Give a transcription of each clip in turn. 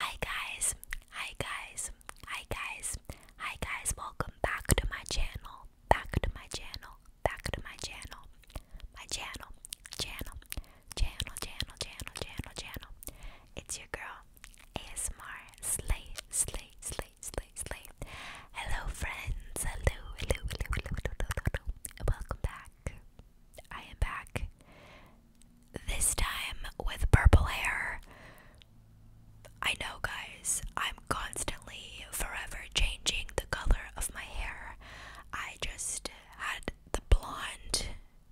Hi guys, hi guys, hi guys, hi guys, welcome back to my channel, back to my channel, back to my channel, my channel, channel, channel, channel, channel, channel, channel. It's your girl, ASMR, Slay, Slay, Slay, Slay, Slay. Hello friends, hello, hello, hello, hello, hello, hello, hello. Welcome back. I am back this time with purple hair. I know, guys, I'm constantly forever changing the color of my hair. I just had the blonde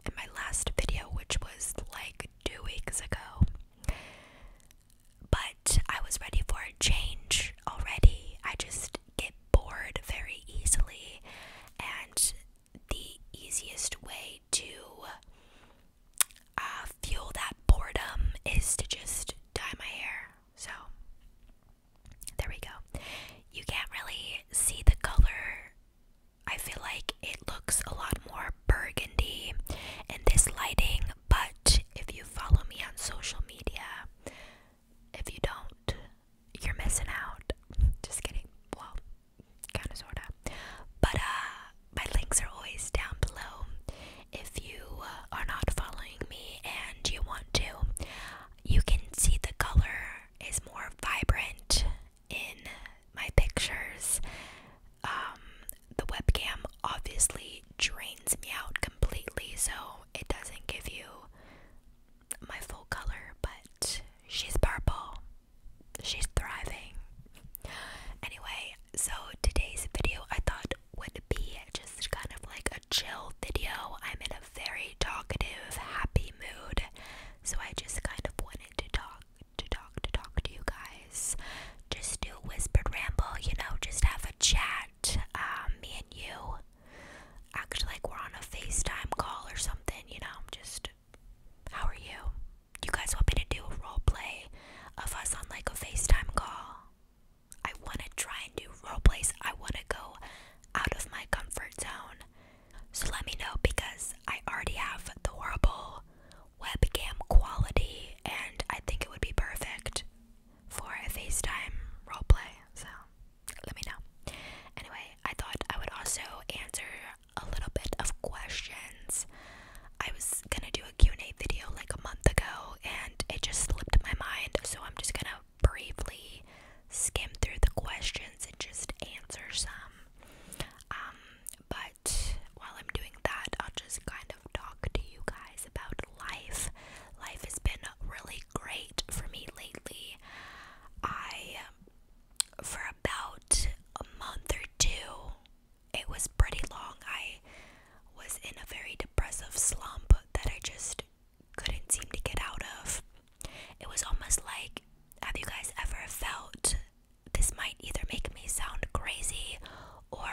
in my last video, which was like two weeks ago. But I was ready for a change already. I just get bored very easily, and the easiest way to uh, fuel that boredom is to just dye my hair. So, there we go. You can't really see the color. I feel like it looks a lot more burgundy in this lighting, but if you follow me on social media, if you don't, you're missing out. Just kidding. Well, kind of sorta. But uh, my links are always down below. If you uh, are not following me and you want to, you can see the color is more vibrant in my pictures. Um, the webcam obviously drains me out completely, so it doesn't give you my full color, but she's purple she's thriving. Anyway, so today's video I thought would be just kind of like a chill video. I'm in a very talkative, happy mood, so I just kind of wanted to talk, to talk, to talk to you guys. Just do whispered ramble, you know, just have a chat, um, me and you. Act like we're on a FaceTime call or something, you know, just how are you? You guys want me to do a role play of us on like a FaceTime call? I want to try and do role play. I want to go out of my comfort zone. So let me know because I already have the horrible webcam quality and I think it would be perfect for a FaceTime role play. So let me know. Anyway, I thought I would also answer a little bit of questions. I was gonna do a Q&A video like a month ago and it just slipped my mind, so I'm just gonna briefly skim through the questions and just answer some. Um, but while I'm doing that, I'll just kind of talk to you guys about life. Life has been really great for me lately. I for about a month or two. It was pretty long. I was in a very depressive slump that I just couldn't seem to get out of. It was almost like have you guys ever felt this might either make me sound crazy or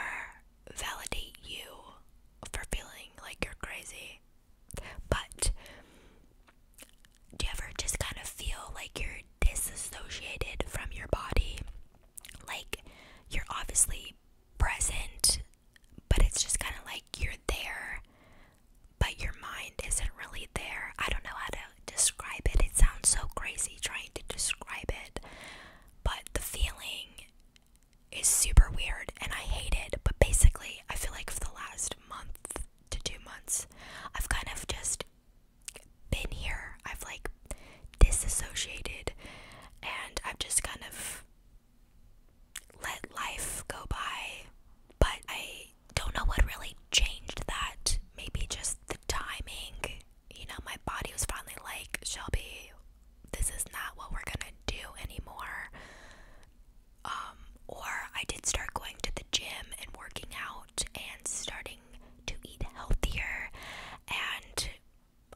validate you for feeling like you're crazy? But do you ever just kind of feel like you're disassociated from your body? Like you're obviously present, but it's just kind of like you're there, but your mind isn't really there. I don't know how to describe it. It sounds so crazy trying to describe it, but the feeling is super weird and I hate it. But basically, I feel like for the last month to two months, I've kind of just been here. I've like disassociated and I've just kind of let life go by. But I don't know what really changed that. Maybe just the timing. You know, my body was finally like, Shelby, this is not what we're gonna do anymore. Um, or I did start going to the gym and working out and starting to eat healthier and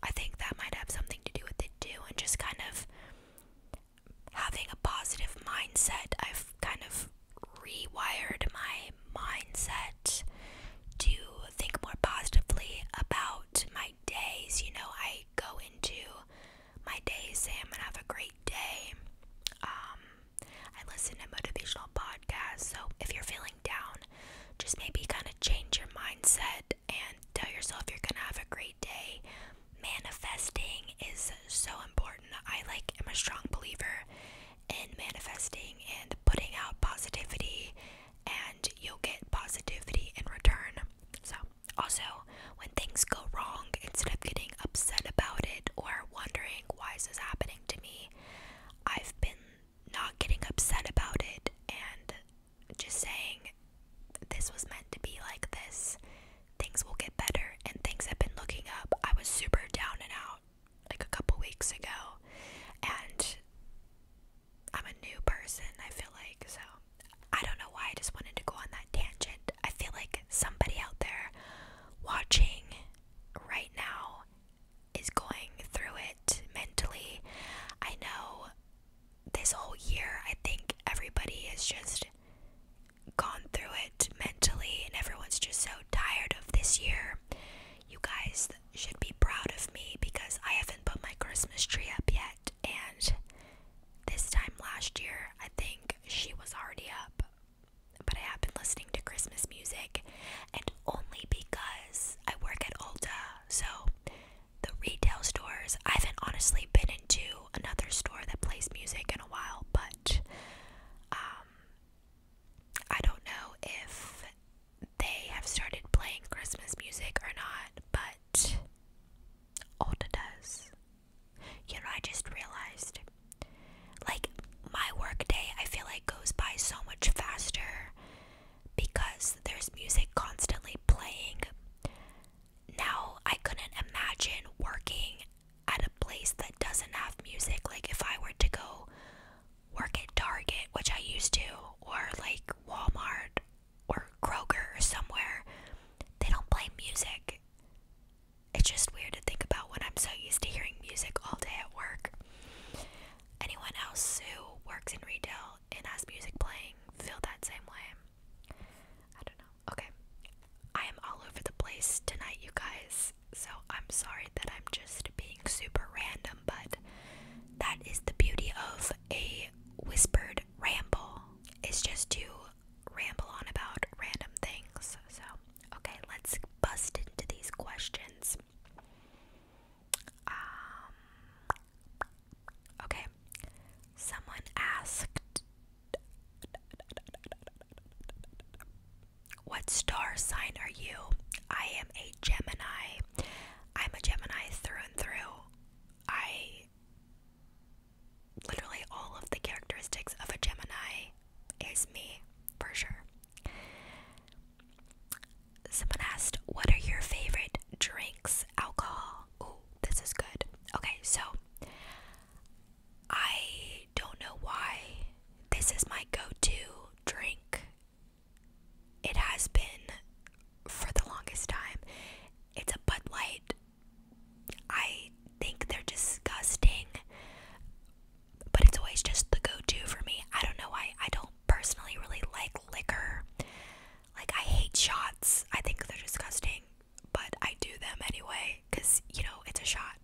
I think that might have something to do with it too and just kind of having a positive mindset. I've kind of rewired my mindset to think more positively about my days. You know, I go into my day, say I'm gonna have a great day. Um, I listen to motivational podcasts. So if you're feeling down, just maybe kind of change your mindset and tell yourself you're going to have a great day. Manifesting is so important. I like am a strong believer in manifesting and putting out positivity and you'll get positivity in return. So also, when things go wrong, instead of getting upset about it or wondering why is this happening to me, I've been not getting upset about it and just saying this was meant to be like this. Things will get better and things have been looking up. I was super down and out like a couple weeks ago and I'm a new person, I feel like. So I don't know why I just wanted to go on that tangent. I feel like somebody out there watching right now is going through it mentally. I know this whole year, I think everybody has just gone through it mentally, and everyone's just so tired of this year. You guys should be proud of me because I haven't put my Christmas tree up yet, and this time last year, I think she was already up but I have been listening to Christmas music, and only because I work at Ulta, so the retail stores. I haven't honestly been into another store that plays music in a while, but um, I don't know if they have started playing Christmas music or not, but Ulta does. You know, I just realized like my work day I feel like goes by so much faster because there's music constantly playing. Now I couldn't imagine working at a place that doesn't have music. Like if I were to go work at Target, which I used to, or like Walmart or Kroger or somewhere, they don't play music. It's just weird to think about when I'm so used to hearing music all day at work anyone else who works in retail and has music playing feel that same way. I don't know. Okay. I am all over the place tonight, you guys. So I'm sorry that I'm just being super random, but that is the beauty of a whispered ramble. It's just to ramble on about random things. So, okay, let's bust into these questions. Um, okay. Someone asked What star sign are you? I am a Gemini. I'm a Gemini through and through. I literally all of the characteristics of a Gemini is me for sure. Someone asked, What are your favorite drinks? Alcohol. Oh, this is good. Okay, so I don't know why this is my go to drink. It has been for the longest time. It's a Bud Light. I think they're disgusting, but it's always just the go-to for me. I don't know why. I don't personally really like liquor. Like I hate shots. I think they're disgusting, but I do them anyway cuz you know, it's a shot.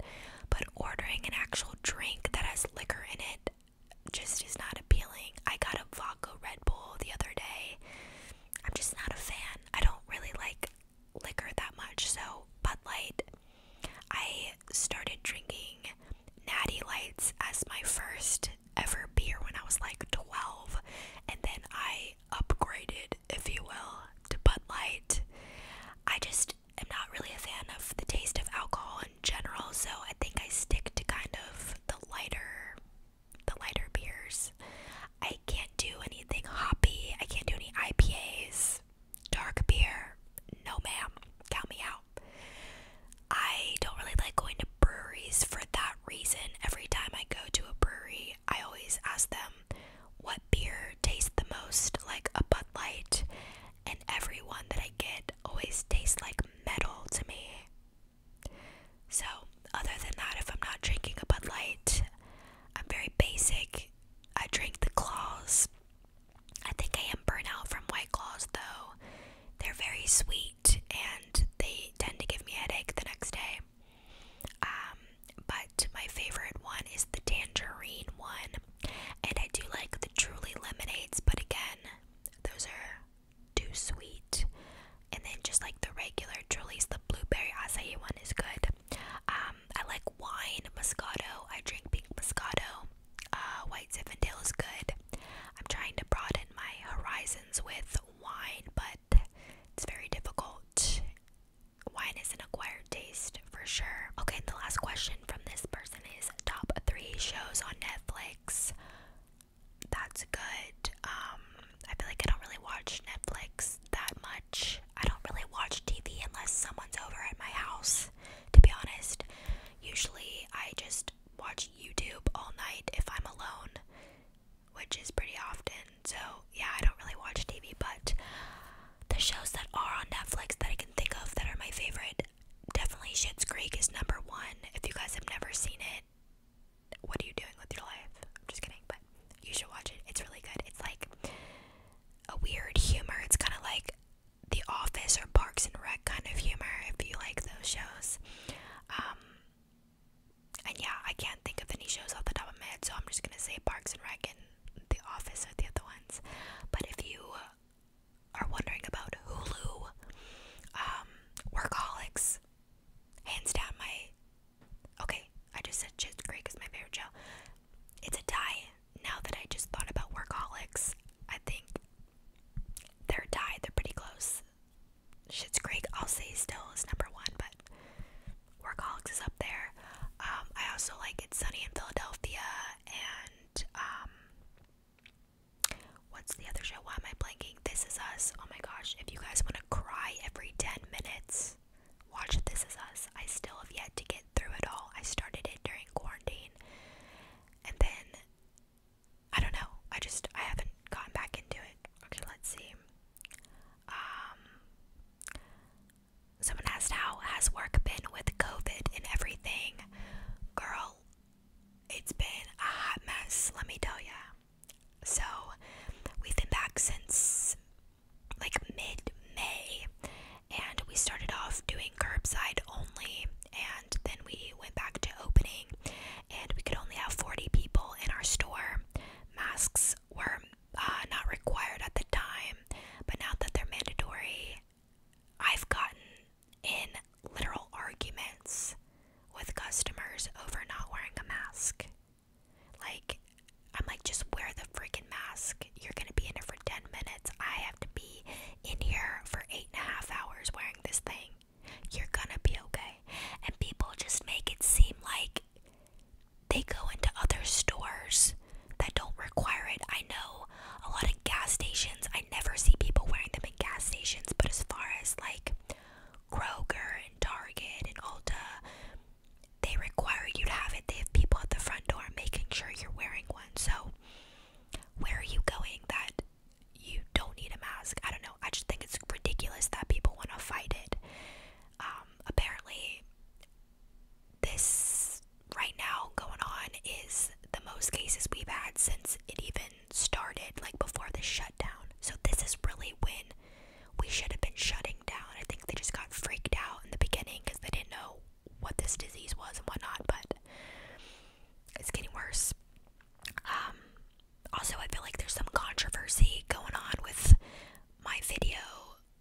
But ordering an actual drink that has liquor in it just is not appealing. I got a vodka Red Bull the other day. I'm just not a fan. I don't really like liquor that much. So, Bud Light I started drinking Natty Lights as my first ever beer when I was like 12, and then I upgraded, if you will, to Bud Light. I just am not really a fan of the taste of alcohol in general, so I think I stick to kind of the lighter the lighter beers. I can't do anything hoppy. I can't do any IPAs. Dark beer. No ma'am. Count me out. I don't really like going to breweries for that reason. Every time I go to a brewery, I always ask them what beer tastes the most like a Bud Light, and every one that I get always tastes like metal to me. So, other than that, if I'm not drinking a Bud Light, I'm very basic. I drink the claws. I think I am burnt out from White Claws though. They're very sweet and they tend to give me a headache the next day. Um, but my favorite one is the tangerine one. And I do like the truly lemonades, but again, those are too sweet. And then just like the regular Truly's, the blueberry acai one is good. Um, I like wine, Moscato. I drink pink Moscato. Uh, White Zinfandel is good. I'm trying to broaden my horizons with wine, but it's very difficult. Wine is an acquired taste for sure. Okay, the last question from this person is top three shows on Netflix. That's good. Um, I feel like I don't really watch Netflix that much. I don't really watch TV unless someone's over at my house, to be honest. Usually, I just watch YouTube all night if I'm alone, which is pretty often. So, yeah, I don't really watch TV, but the shows that are on Netflix that I can think of that are my favorite definitely Shit's Creek is number one. If you guys have never seen it, what are you doing with your life? I'm just kidding, but you should watch it. It's really good. It's like a weird humor. It's kind of like the Office or Parks and Rec kind of humor if you like those shows. Um, and yeah, I can't think of any shows off the top of my head, so I'm just gonna say Parks and Rec and The Office are the other ones. But if you are wondering about Hulu, um, Workaholics, hands down my. Okay, I just said Shit's Creek is my favorite show. It's a tie. Now that I just thought about Workaholics, I think they're tied. They're pretty close. Schitt's Creek, I'll say, still is number one, but Workaholics is up there. Um, I also like It's Sunny in Philadelphia and um, what's the other show? Why am I blanking? This Is Us. Oh my gosh! If you guys want to cry every ten minutes, watch This Is Us. I still have yet to get through it all. I started it during quarantine, and then I don't know. I just I haven't gotten back into it. Okay, let's see. Um someone asked how has work been with COVID and everything. Girl, it's been a hot mess, let me tell ya. So, we've been back since like mid May and we started off doing curbside only and and then we went back to opening and we could only have 40 people in our store masks were uh, not required at the time but now that they're mandatory i've gotten in literal arguments with customers over not wearing a mask like i'm like just wear the freaking mask you're gonna be in here for 10 minutes i have to be in here for eight and a half hours wearing this thing. You're gonna be okay. And people just make it seem like they go into other stores that don't require it. I know a lot of gas stations, I never see people wearing them in gas stations, but as far as like Kroger and Target and Ulta, they require you to have it. They have people at the front door making sure you're wearing one. So, where are you going that you don't need a mask. I don't know. I just think it's ridiculous that people want to fight it. Um, apparently, this right now going on is the most cases we've had since it even started, like before the shutdown. So, this is really when we should have been shutting down. I think they just got freaked out in the beginning because they didn't know what this disease was and whatnot. But it's getting worse. Um, also, I feel like there's some controversy going on with my video,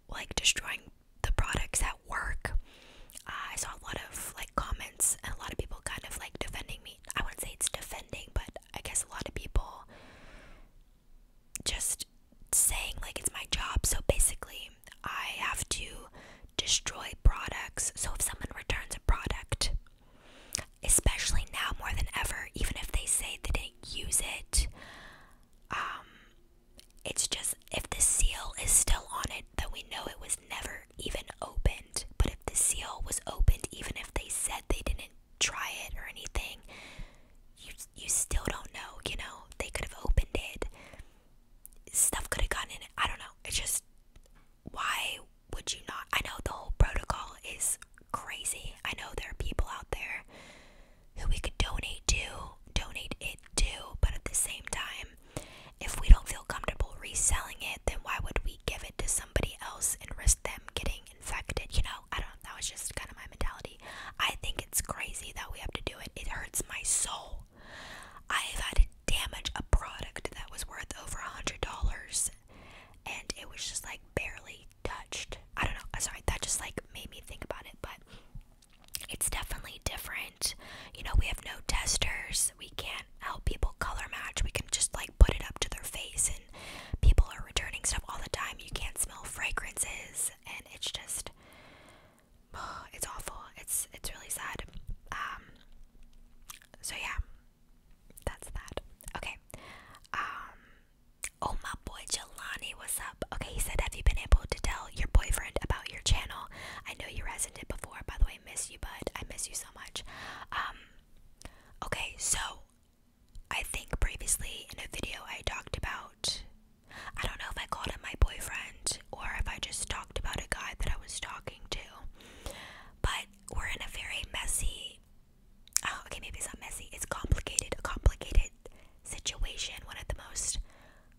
like destroying the products at work. Uh, I saw a lot of like comments and a lot of people kind of like defending me. I wouldn't say it's defending, but I guess a lot of people just saying like it's my job. So basically, I have to destroy products. So if someone returns a product, especially now more than ever, even if they say they didn't use it, um, it's just if the seal is still on it, then we know it was never even opened. But if the seal was opened, even if they said they didn't try it or anything, you you still don't know. You know they could have opened it. Stuff could have gotten in it. I don't know. It just why would you not? I know the whole protocol is crazy. I know there are people out there who we could donate to, donate it to, but at the same time, if we don't feel comfortable reselling it, then why would we give it to somebody else and risk them getting infected? You know, I don't that was just kind of my mentality. I think it's crazy that we have to do it. It hurts my soul. I've had to damage a product that was worth over a hundred dollars and it was just like barely touched. I don't know, sorry, that just like made me think about it, but it's definitely different. You know, we have no testers, we can't help people color match, we can just like put it up to their face and people are returning stuff all the time. You can't smell fragrances and it's just it's awful. It's it's really sad. Um so yeah, that's that. Okay. Um oh my boy Jelani, what's up? Okay, he said, Have you been able to tell your boyfriend about your channel? I know you hasn't did before, by the way, miss you, bud. I miss you so much. Um Okay, so I think previously in a video I talked about I don't know if I called him my boyfriend or if I just talked about a guy that I was talking to. But we're in a very messy oh, okay maybe it's not messy it's complicated a complicated situation one of the most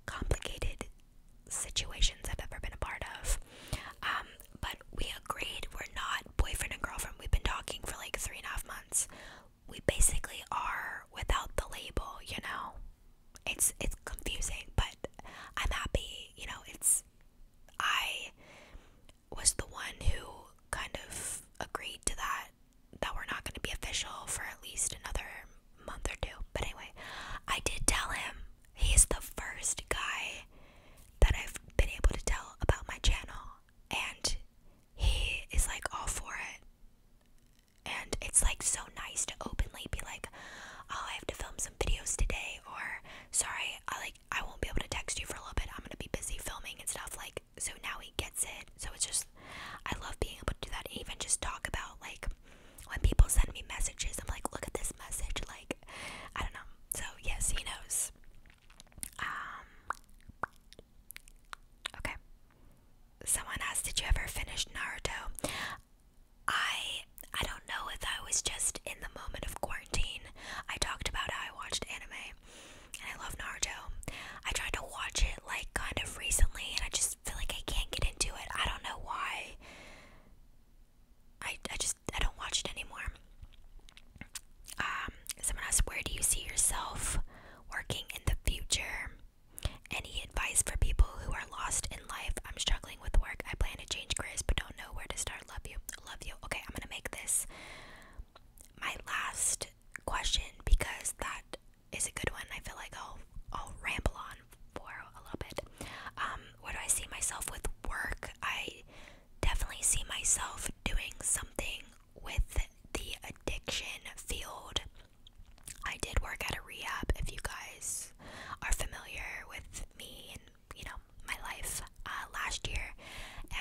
complicated situations i've ever been a part of um but we agreed we're not boyfriend and girlfriend we've been talking for like three and a half months we basically are without the label you know it's it's confusing but i'm happy you know it's I was the one who kind of agreed to that that we're not going to be official for at least another month or two. But anyway, I did tell him. He's the first guy that I've been able to tell about my channel and he is like all for it. And it's like so nice to openly be like, "Oh, I have to film some videos today," or "Sorry, I like I won't be able to text you for a little bit. I'm gonna be busy filming and stuff. Like, so now he gets it. So it's just, I love being able to do that. even just talk about like when people send me messages, I'm like, look at this message. Like, I don't know. So yes, he knows. Um. Okay. Someone asked, did you ever finish Naruto? I I don't know if I was just in the moment of quarantine. I talked about how I watched anime and I love Naruto. I tried to watch it like kind of recently and I just feel like I can't get into it. I don't know why. I I just I don't watch it anymore. Um, someone asked where do you see yourself working in the future? Any advice for people who are lost in life? I'm struggling with work. I plan to change careers but don't know where to start. Taylor. Love you. Love you. Okay, I'm gonna make this my last question because that is a good one. I feel like I'll I'll ramble on for a little bit. Um, where do I see myself with work? I definitely see myself doing something with the addiction field. I did work at a rehab if you guys are familiar with me you know, my life uh, last year,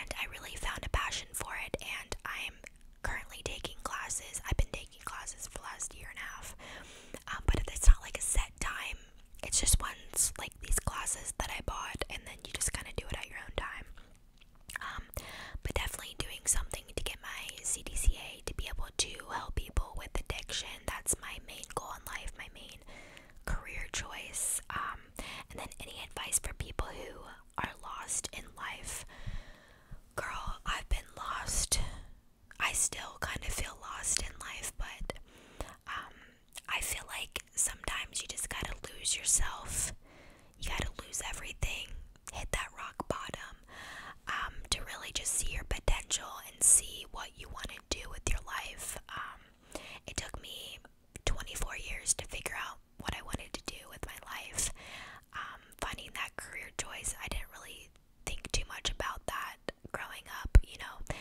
and I really found a passion for it. And I'm currently taking classes. I've been taking classes for the last year and a half, um, but it's not like a set time. It's just ones like these classes that I bought, and then you just kind of do it at your own time. Um, but definitely doing something to get my CDCA to be able to help people with addiction. That's my main goal in life, my main career choice, um, and then any advice for people who are lost in life. Girl, I've been lost. I still kind of feel lost in life, but um, I feel like sometimes you just gotta lose yourself. You gotta lose everything, hit that rock bottom um, to really just see your potential and see what you want to to do with your life. Um, it took me 24 years to figure out what I wanted to do with my life. Um, finding that career choice, I didn't really think too much about that growing up. You know,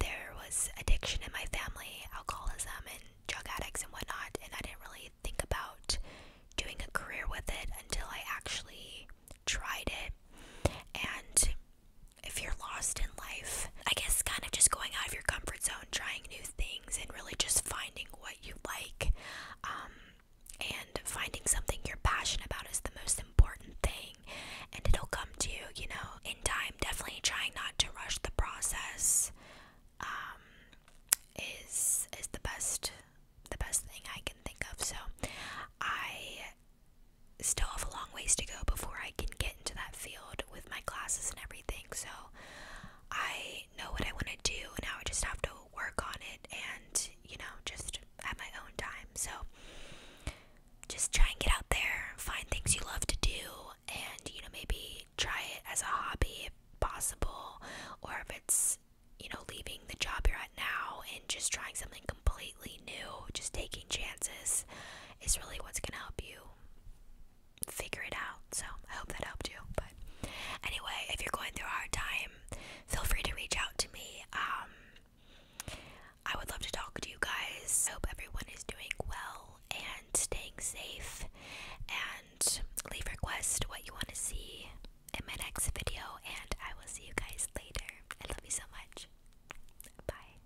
there was addiction in my family, alcoholism, and drug addicts and whatnot, and I didn't really think about doing a career with it until I actually tried it. And if you're lost in life, I guess kind of just going out of your comfort zone, trying new things, and really just finding what you like. Um, and finding something you're passionate about is the most important thing, and it'll come to you, you know, in time. Definitely trying not to rush the process um, is is the best the best thing I can think of. So I still have a long ways to go before I can get into that field with my classes and everything. So I know what I want to do, and now I just have to work on it and, you know, just have my own time. So just try and get out there, find things you love to do, and, you know, maybe try it as a hobby if possible, or if it's, you know, leaving the job you're at now and just trying something completely new, just taking chances is really what's going to help you figure it out. So I hope that helped you. But anyway, if you're going through a hard time, feel free to reach out to me. Um, I would love to talk to you guys. I hope everyone is doing well and staying safe. And leave request what you want to see in my next video. And I will see you guys later. I love you so much. Bye.